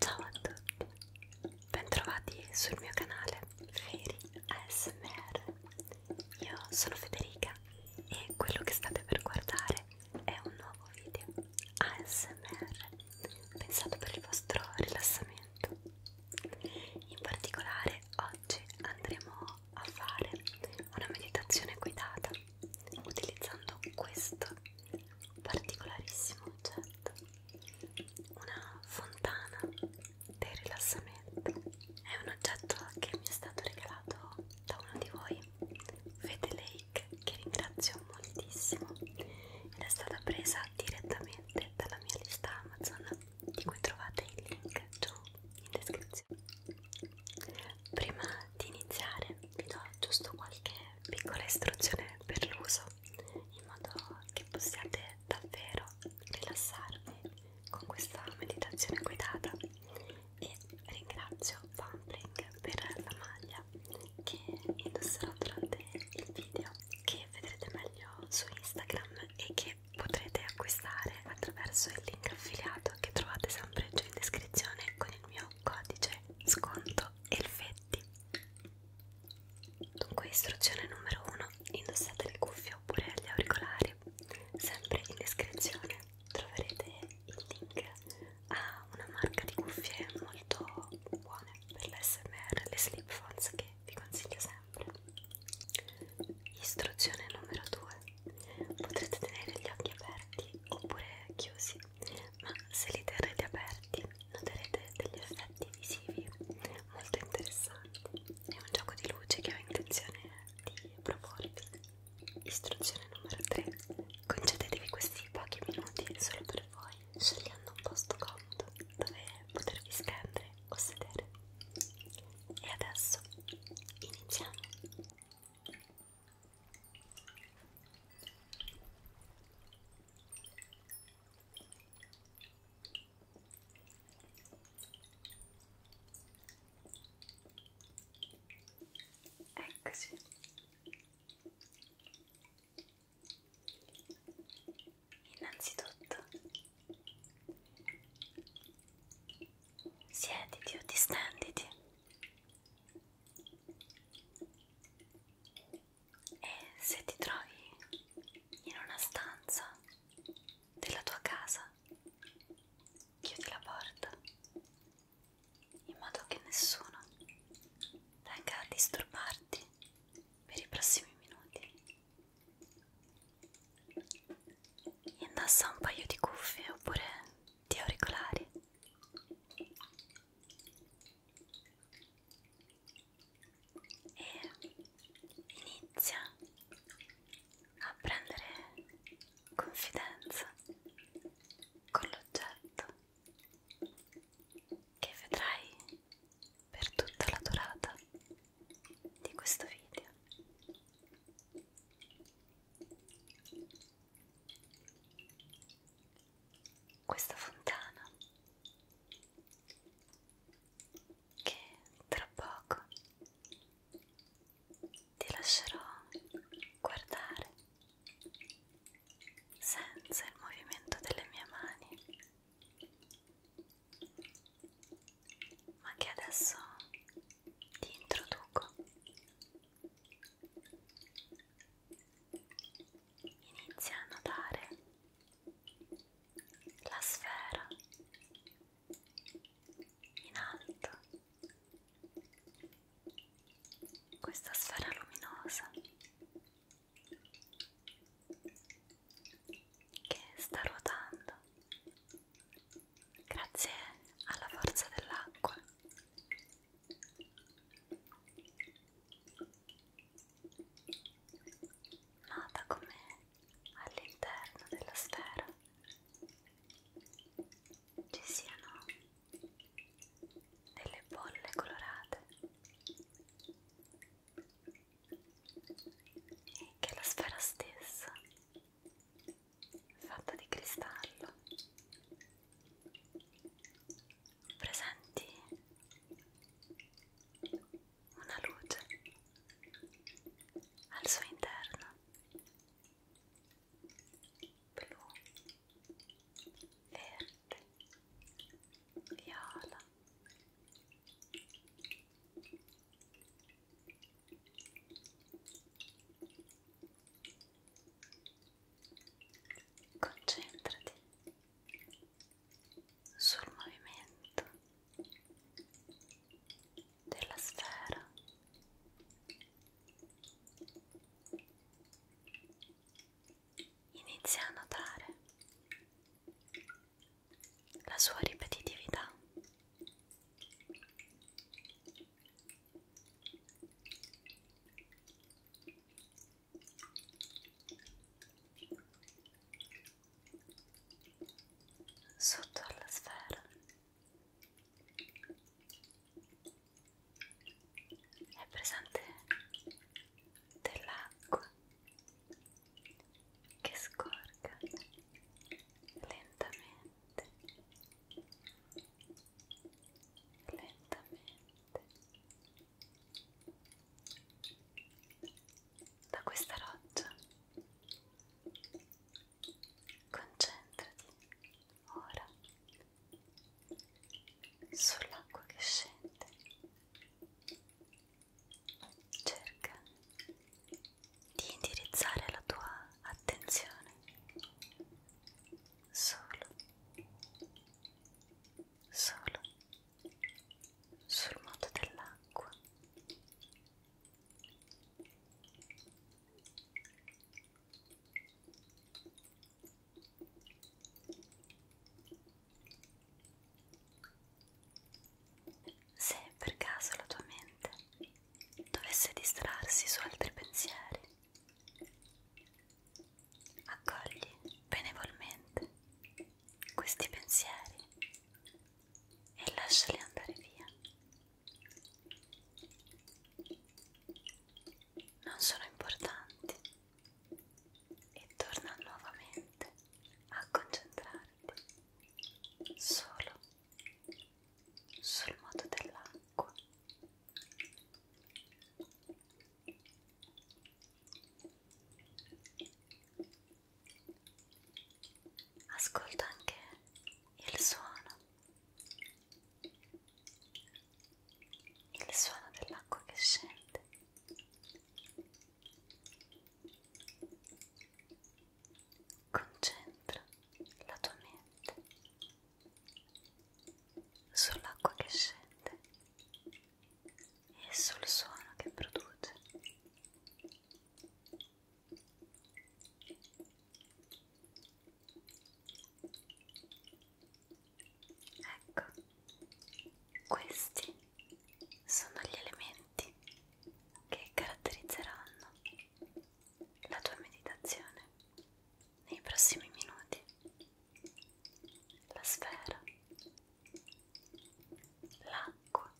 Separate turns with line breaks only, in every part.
Ciao a tutti, bentrovati sul mio canale Feri ASMR. Io sono Federica e quello che state per guardare è un nuovo video ASMR pensato per il vostro rilassamento. In particolare oggi andremo a fare una meditazione guidata utilizzando questo particolarissimo oggetto, una fontana del rilassamento. È un oggetto che mi è stato regalato da uno di voi, Fede Lake, che ringrazio moltissimo ed è stata presa direttamente dalla mia lista Amazon di cui trovate il link giù in descrizione Prima di iniziare vi do giusto qualche piccola istruzione per l'uso in modo che possiate davvero rilassarvi con questa meditazione guidata e ringrazio Pumpling per la maglia che indosserò durante il video che vedrete meglio su Instagram e che che potrete acquistare attraverso il link affiliato che trovate sempre giù in descrizione con il mio codice sconto Elfetti. Dunque istruzione numero 1, indossate le cuffie oppure gli auricolari, sempre in descrizione troverete il link a una marca di cuffie molto buone per l'SMR, le slip phones che vi consiglio sempre. Istruzione numero 2. Potrete tenere gli occhi aperti oppure chiusi, ma se li terrete aperti noterete degli effetti visivi molto interessanti. È un gioco di luce che ho intenzione di proporvi. Istruzione numero 3. Concedetevi questi pochi minuti solo per voi, scegliendo un posto comodo dove potervi stendere o sedere e adesso iniziamo Eccoci. Innanzitutto Siediti o distenditi e se ti trovi in una stanza della tua casa chiudi la porta in modo che nessuno venga a disturbarti per i prossimi minuti Indassa un paio di cuffie oppure di auricolari. E inizia a prendere confidenza con l'oggetto che vedrai per tutta la durata di questo video questa fontana che tra poco ti lascerò guardare senza il movimento delle mie mani ma che adesso ti introduco. Inizia a notare la sfera in alto, questa sfera luminosa che sta ruotando grazie alla forza dell'acqua nota come all'interno della sfera ci siano delle bolle colorate e che la sfera stessa fatta di cristallo presenti una luce al suo interno blu verde viola Concentrati sul movimento della sfera. Inizia a notare la sua ripetitività. Sotto alla sfera è presente dell'acqua che scorga lentamente lentamente da questa roccia concentrati ora sull'acqua che scende cerca di indirizzare la tua attenzione solo, solo sul modo dell'acqua. Se per caso la tua mente dovesse distrarsi su altri pensieri, accogli benevolmente questi pensieri e lasciali andare via. Non sono importanti e torna nuovamente a concentrarti solo sul modo dell'acqua ascolta anche il suono il suono dell'acqua che scende Concentra la tua mente sull'acqua che scende e sul suono che produce. Ecco, questi sono gli elementi che caratterizzeranno la tua meditazione nei prossimi minuti. La sfera, l'acqua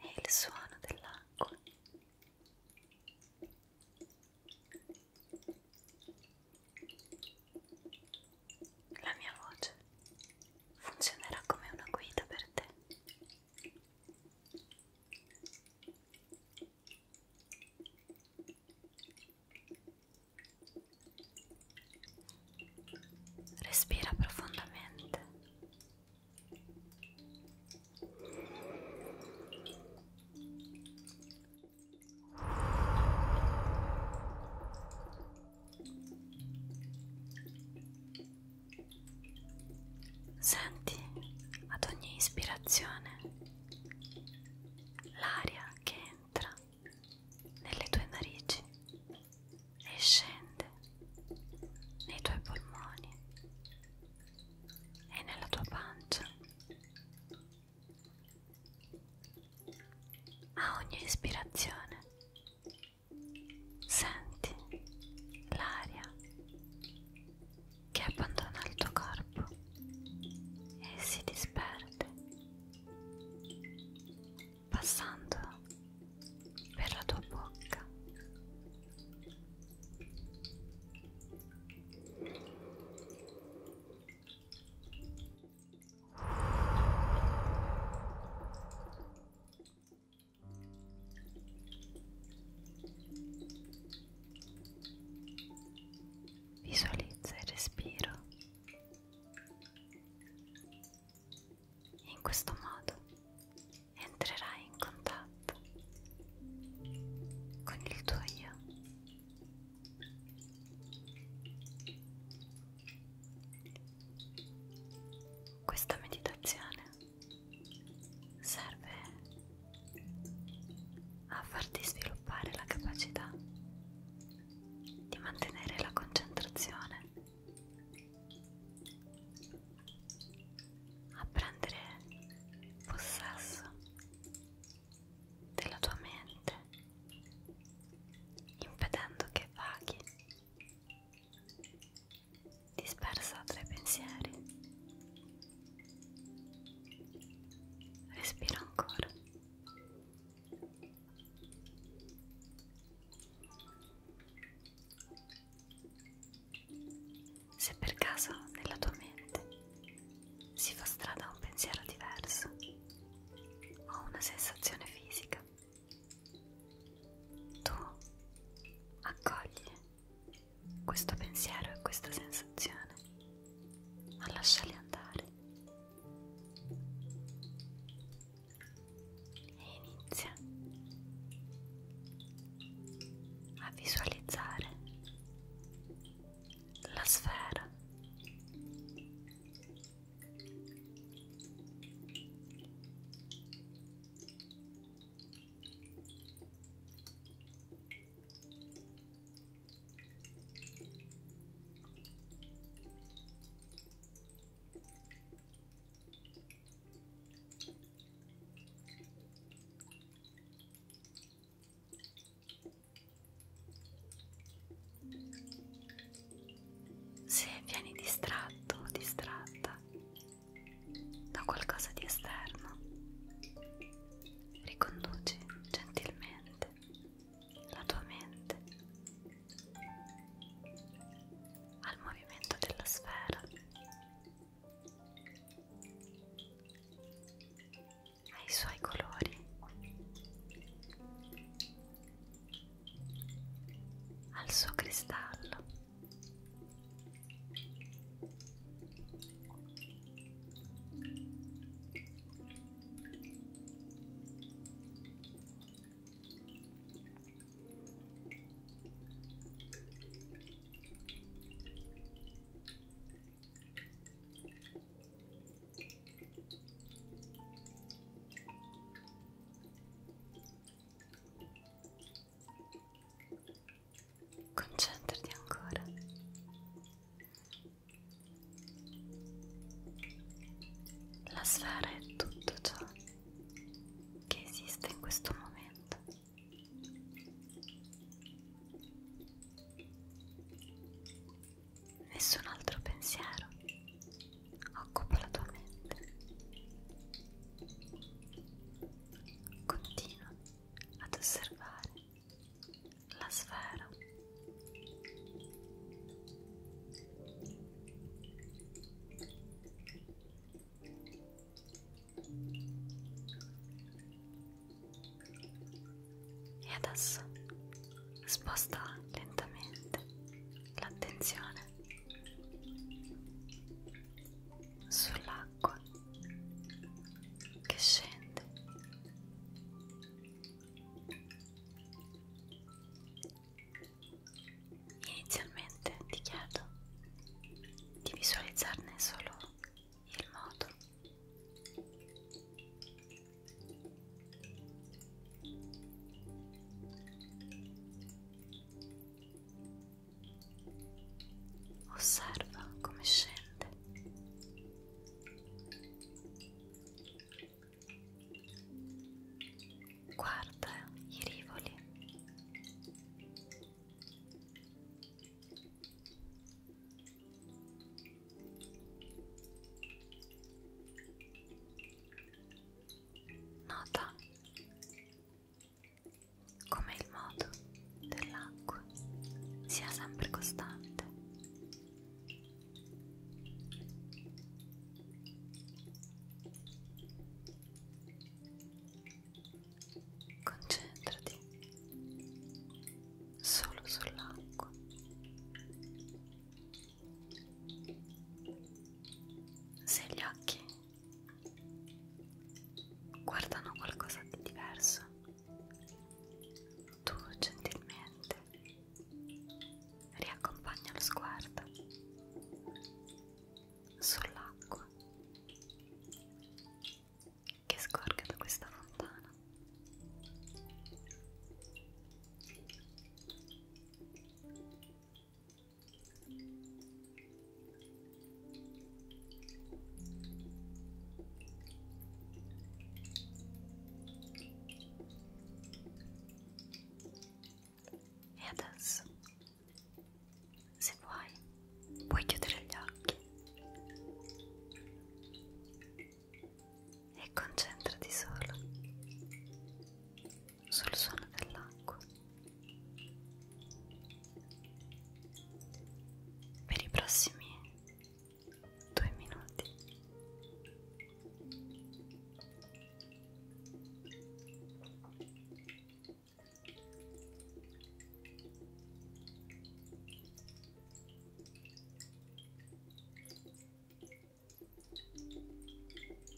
e il suono dell'acqua. La mia voce funzionerà come una guida per te Respira profondamente. Senti ad ogni ispirazione l'aria che entra nelle tue narici e scende nei tuoi polmoni e nella tua pancia. A ogni ispirazione Senti l'aria che abbandona il tuo corpo e si disperde, passando per la tua bocca. Visualizza il respiro. In questo modo entrerai in contatto con il tuo io. Questa meditazione serve a farti sviluppare la capacità di mantenere la concentrazione, a prendere possesso della tua mente, impedendo che vaghi dispersa tra i pensieri. Respira ancora. Se per caso nella tua mente si fa strada un pensiero diverso o una sensazione fisica, tu accogli questo pensiero e questa sensazione, ma lasciali andare e inizia a visualizzare la sfera se vieni distratto o distratta, da qualcosa di esterno. Riconduci gentilmente la tua mente al movimento della sfera. Ai suoi colori al suo cristallo Concentrati ancora. La sfera è tutto ciò che esiste in questo momento. Nessun altro pensiero, occupa la tua mente. Continua ad osservare la sfera. E adesso sposta lentamente l'attenzione sull'acqua che scende inizialmente ti chiedo di visualizzarne solo il modo Osserva come scende. Guarda i rivoli. Nota come il moto dell'acqua sia sempre costante. Concentrati solo sull'acqua. Se gli occhi guardano qualcosa di diverso. Tu gentilmente riaccompagna lo sguardo sull'acqua che scorga da questa fontana. E adesso, se vuoi, puoi chiudere gli occhi e concentrati solo sul suono dell'acqua. Per i prossimi due minuti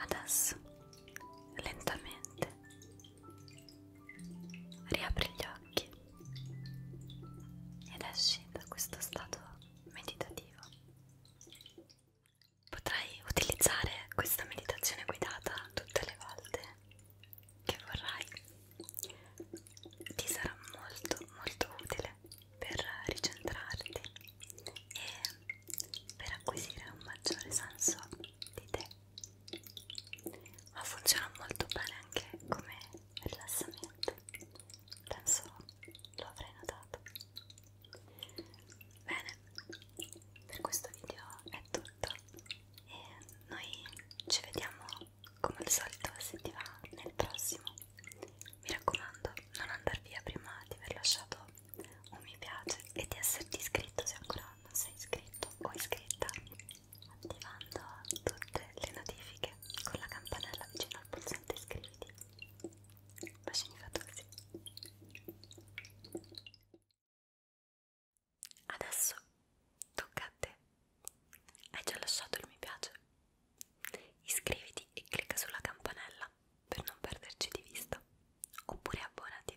Adesso lentamente riapri gli occhi ed esci da questo stato meditativo. Potrai utilizzare questa meditazione guidata tutte le volte che vorrai. Ti sarà molto molto utile per ricentrarti e per acquisire un maggiore senso di te ma funziona molto bene anche come rilassamento penso lo avrei notato bene per questo video è tutto e noi ci vediamo come al solito se ti va nel prossimo mi raccomando non andar via prima di aver lasciato un mi piace e di esserti iscritto se ancora quando sei iscritto o iscritta attivando tutte le notifiche con la campanella vicino al pulsante iscriviti bacini fatosi adesso tocca a te hai già lasciato il mi piace iscriviti e clicca sulla campanella per non perderci di vista oppure abbonati